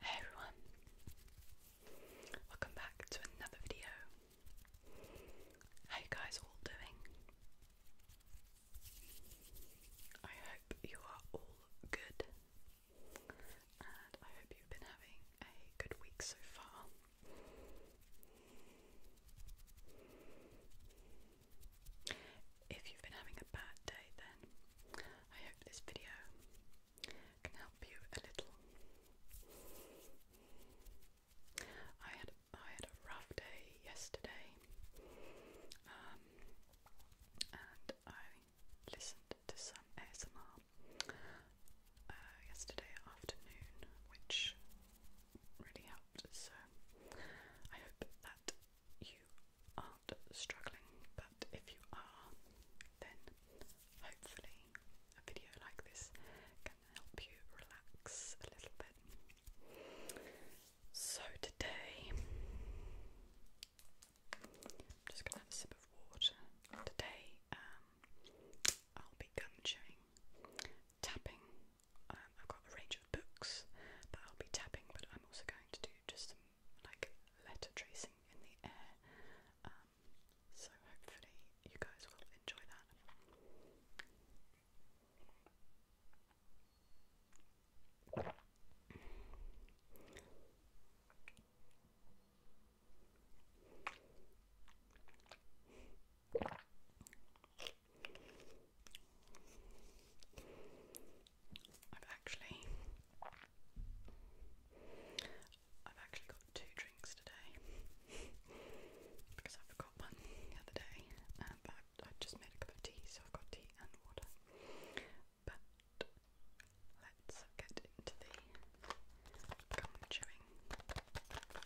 Hey everyone, welcome back to another video. How you guys all doing? I hope you are all good, and I hope you've been having a good week so far. If you've been having a bad day, then I hope this video can help you a little. I had I had a rough day yesterday, um, and I listened to some ASMR uh, yesterday afternoon, which really helped. So I hope that you are struggling, but if you are, then hopefully a video like this can help you relax a little bit. So today, I'm just gonna have a sip of water. Today, um, I'll be gun tapping. Um, I've got a range of books that I'll be tapping, but I'm also going to do just some like letter tracing in the air. Um, so hopefully you guys will enjoy that. I've actually I've actually got two drinks today because I forgot one the other day uh, but I, just made a cup of tea so I've got tea and water but let's get into the gum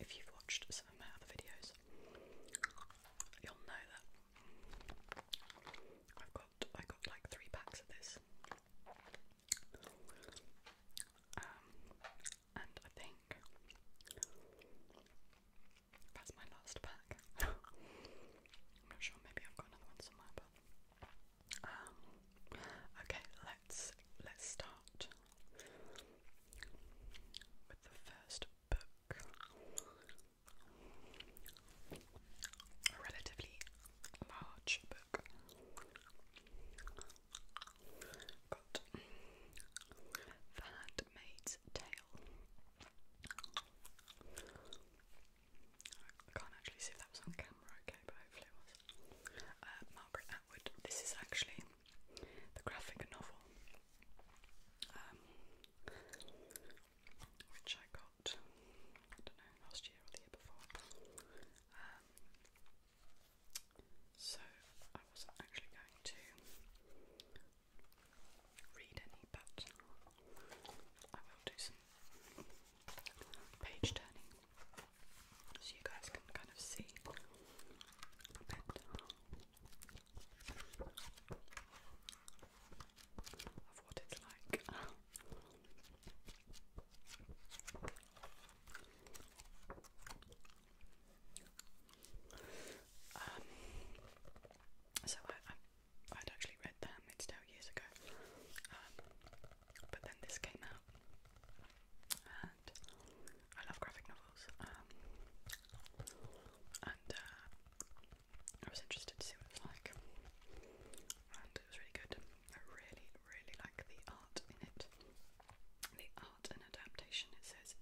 If you've watched some of my other videos, you'll know that I've got I got like three packs of this. Um, and I think that's my last pack. I'm not sure, maybe I've got another one somewhere, but um, okay, let's let's start with the first book. A relatively large book. Got Tale. can't actually see if that was on camera, okay, but hopefully it was. Uh, this is actually the graphic novel, um, which I got, I don't know, last year or the year before. Um, so I was actually going to read any, but I will do some page turning so you guys can kind of see of what it's like. Um, so I, I, would actually read that Handmaid's Tale years ago, um, but then this came out, and I love graphic novels. Um, and uh, I was interested to see what it was like, and it was really good. I really, really like the art in it. The art and adaptation, it says,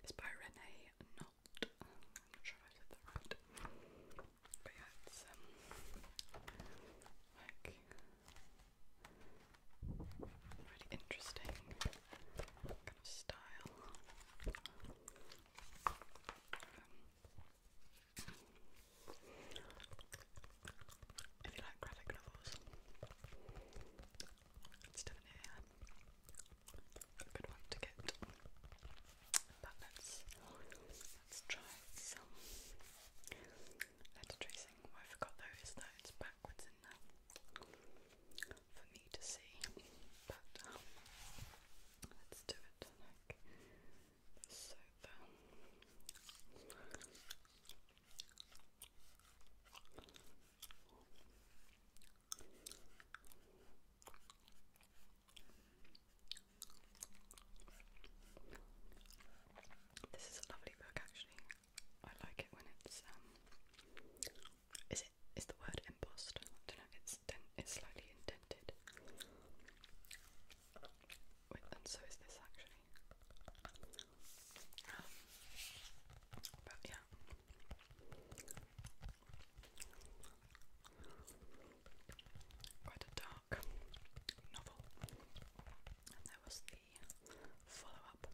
is by Renee Knott. I'm not sure if I said that right. But yeah, it's um, Really interesting kind of style. if you like graphic novels, it's definitely a good one to get. But let's let's try some letter tracing. Oh, I forgot those is that for me to see. But um, let's do it like This is a lovely book, actually. I like it when it's um, is it is the word embossed? I don't know, it's it's slightly indented. and so is this actually. Um, but yeah. Quite a dark novel. And there was the follow up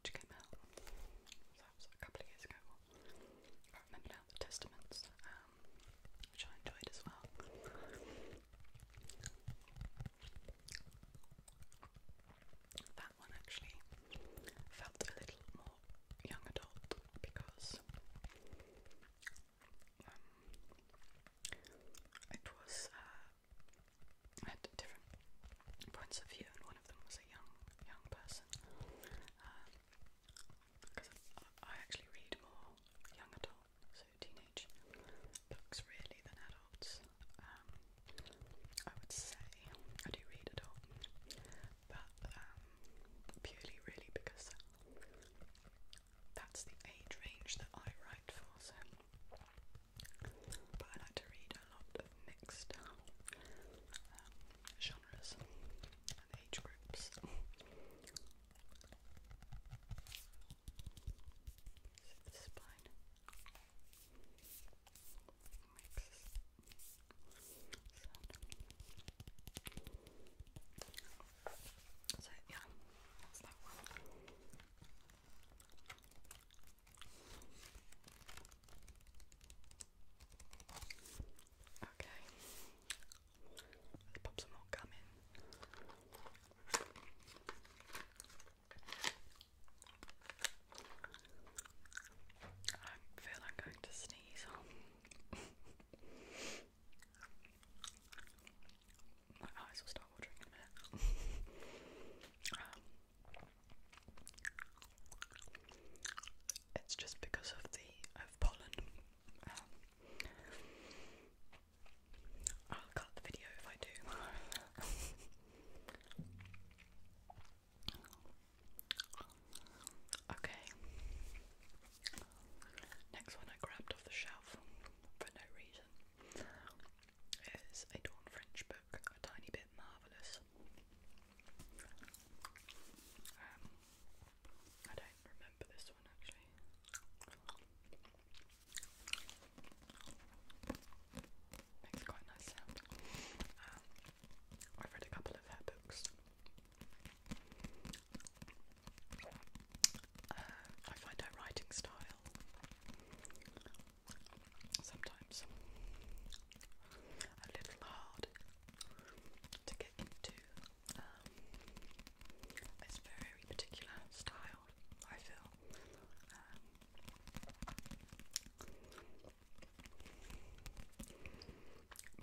which came out that a couple of years ago. I remember now the Testaments, um, which I enjoyed as well. That one actually felt a little more young adult because um, it was uh, had different points of view, and one of them was a young young person. Because um, I, actually read more young adult, so teenage books really than adults. Um, I would say I do read adult, but um, purely really because that's the age range that I write for, so but I like to read a lot of mixed um, genres and age groups. so the spine mixes So yeah, that's that one. Okay. Let's pop some more gum in. I feel I'm going to sneeze My eyes will start watering a minute. Um, it's just because of the of pollen. Um, I'll cut the video if I do. okay. Next one I grabbed off the shelf for no reason. Is a Dawn French book, a tiny bit marvellous. Um, I don't remember this one actually. Makes quite nice sound. Um, I've read a couple of her books. Uh, I find her writing style sometimes a little hard to get into. Um, very particular style, I feel. Um,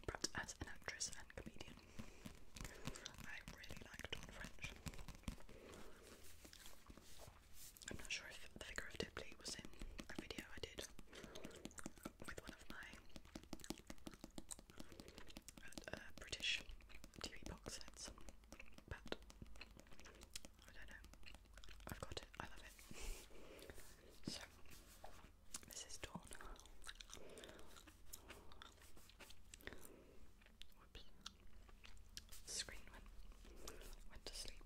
but as an actress and comedian, I really like Don French. I'm not sure if the figure of Dipley was in a video I did with one of my uh, British TV box sets, but I don't know. I've got it. I love it. So this is Dawn screen went, went to sleep.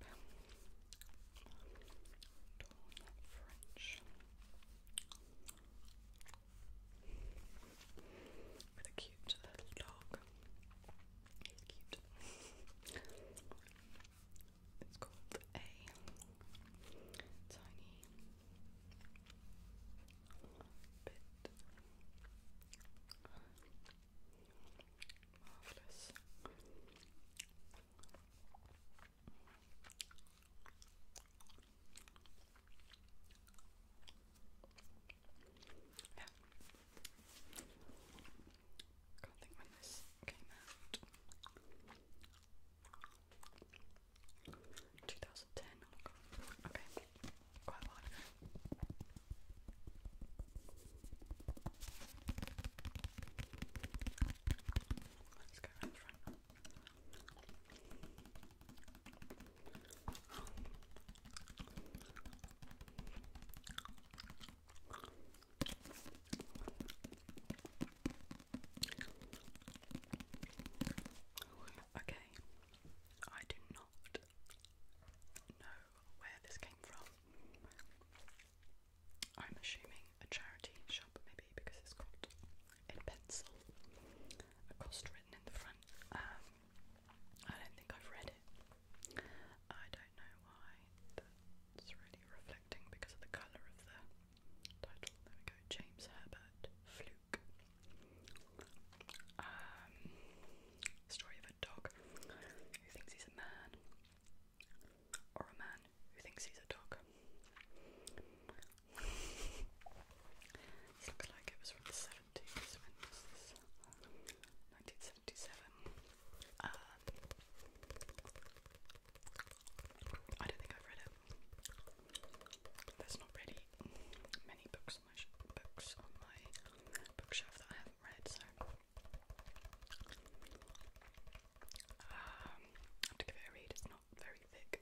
French. With a cute little dog. He's cute. it's called a tiny bit Marvelous. Can't think when this came out. 2010, okay, quite a Let's go around front. Okay, I do not know where this came from. I'm assuming a charity shop, maybe, because it's got in pencil a cost written in the front. Um, I don't think I've read it. I don't know why it's really reflecting because of the colour of the title. There we go, James Herbert Fluke. Um, story of a dog who thinks he's a man, or a man who thinks he's a dog. it like it was from the 70s, when 1977. Um, I don't think I've read it. There's not really many books on my bookshelf that I haven't read, so um, I have to give it a read. It's not very thick.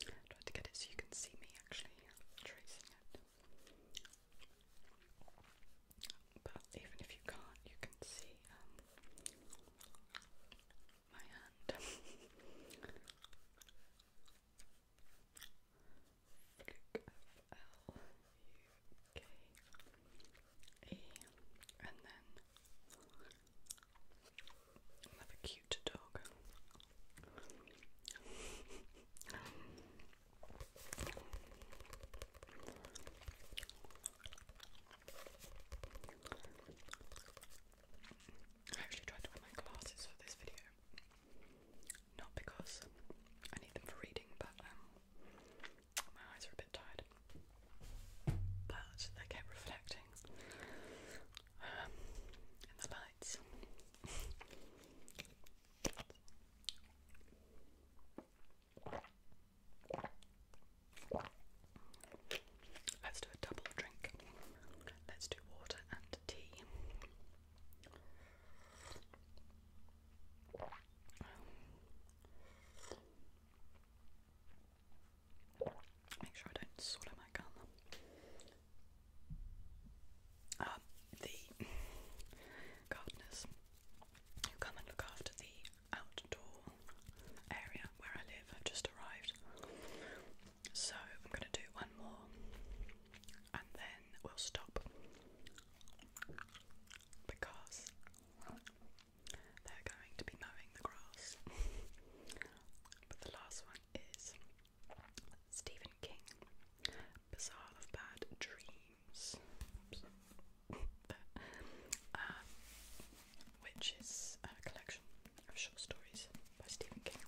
Try to get it so you can see me actually tracing it. But even if you can't, you can see um, my hand. Fluke and then Another cute dog. I actually tried to wear my glasses for this video. Not because I need them for reading, but um, my eyes are a bit tired. But they kept reflecting um, in the Let's do a double drink. Let's do water and tea. Make sure I don't swallow my gum. Um, the gardeners who come and look after the outdoor area where I live have just arrived. So I'm going to do one more and then we'll stop because they're going to be mowing the grass. but the last one is Stephen King, Bazaar of Bad Dreams, uh, which is a collection of short stories by Stephen King.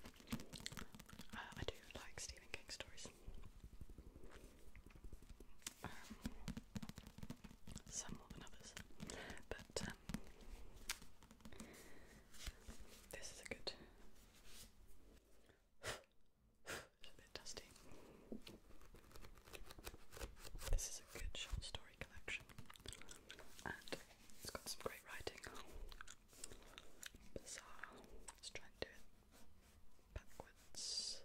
Uh, I do like Stephen King stories. Um, some more than others, but um, this is a good. it's a bit dusty. This is a good short story collection, and it's got some great writing. Bizarre. Let's try and do it backwards.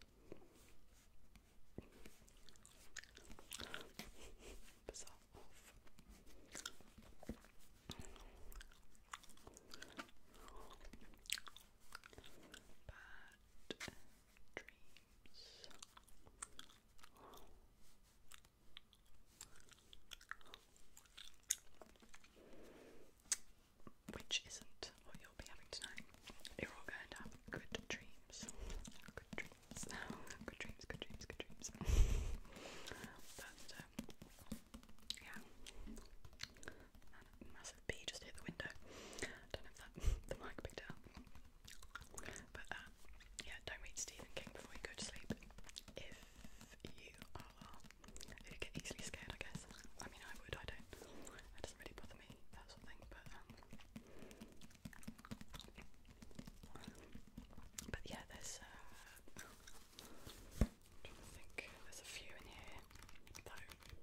Bad dreams. Which isn't what you'll be having tonight. You're all going to have good dreams good dreams, good dreams, good dreams. but um, yeah, massive bee just hit the window. Don't know if that the mic picked up. But uh, yeah, don't read Stephen King before you go to sleep. If you are, easily scared, I guess. I mean, I would. I don't. It doesn't really bother me that sort of thing. But um, but yeah, there's uh, think. There's a few in here.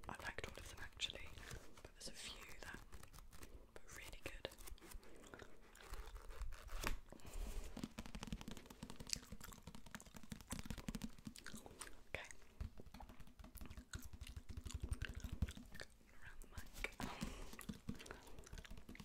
I liked all of them actually, but there's a few that were really good. Okay. Around the mic.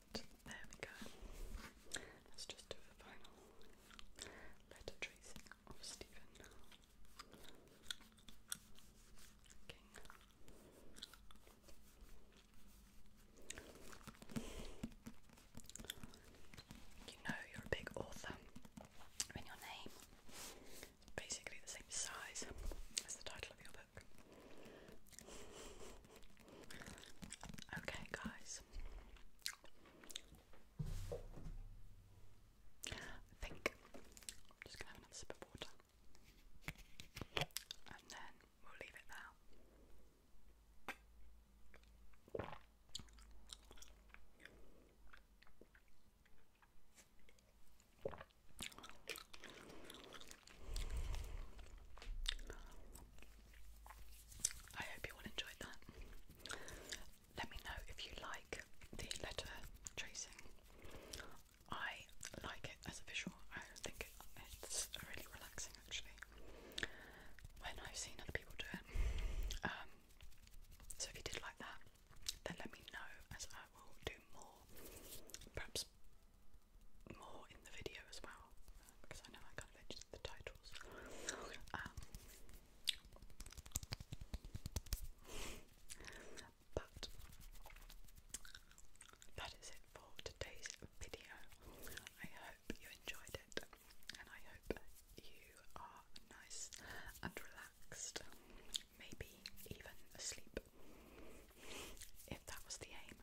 But there we go. Let's just do the final letter tracing of Stephen King. You know you're a big author when your name is basically the same size as the title of your book cook. Okay, guys. I think just gonna have another sip of water. And then we'll leave it there. I hope you all enjoyed that. Let me know if you like the letter tracing. I like it as a visual. I think it's really relaxing actually. When I've seen other people do it. Um, so if you did like that, then let me know as I will do more. Perhaps more in the video as well because I know I kind of edit the titles. Um, but that is it for today's video. I hope you enjoyed it and I hope you are nice and relaxed, maybe even asleep if that was the aim.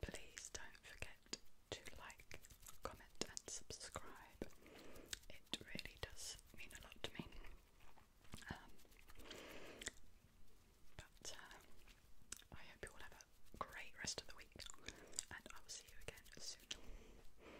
Please don't forget to like, comment, and subscribe. It really does mean a lot to me. Um, but uh, I hope you all have a great rest of the week, and I will see you again soon.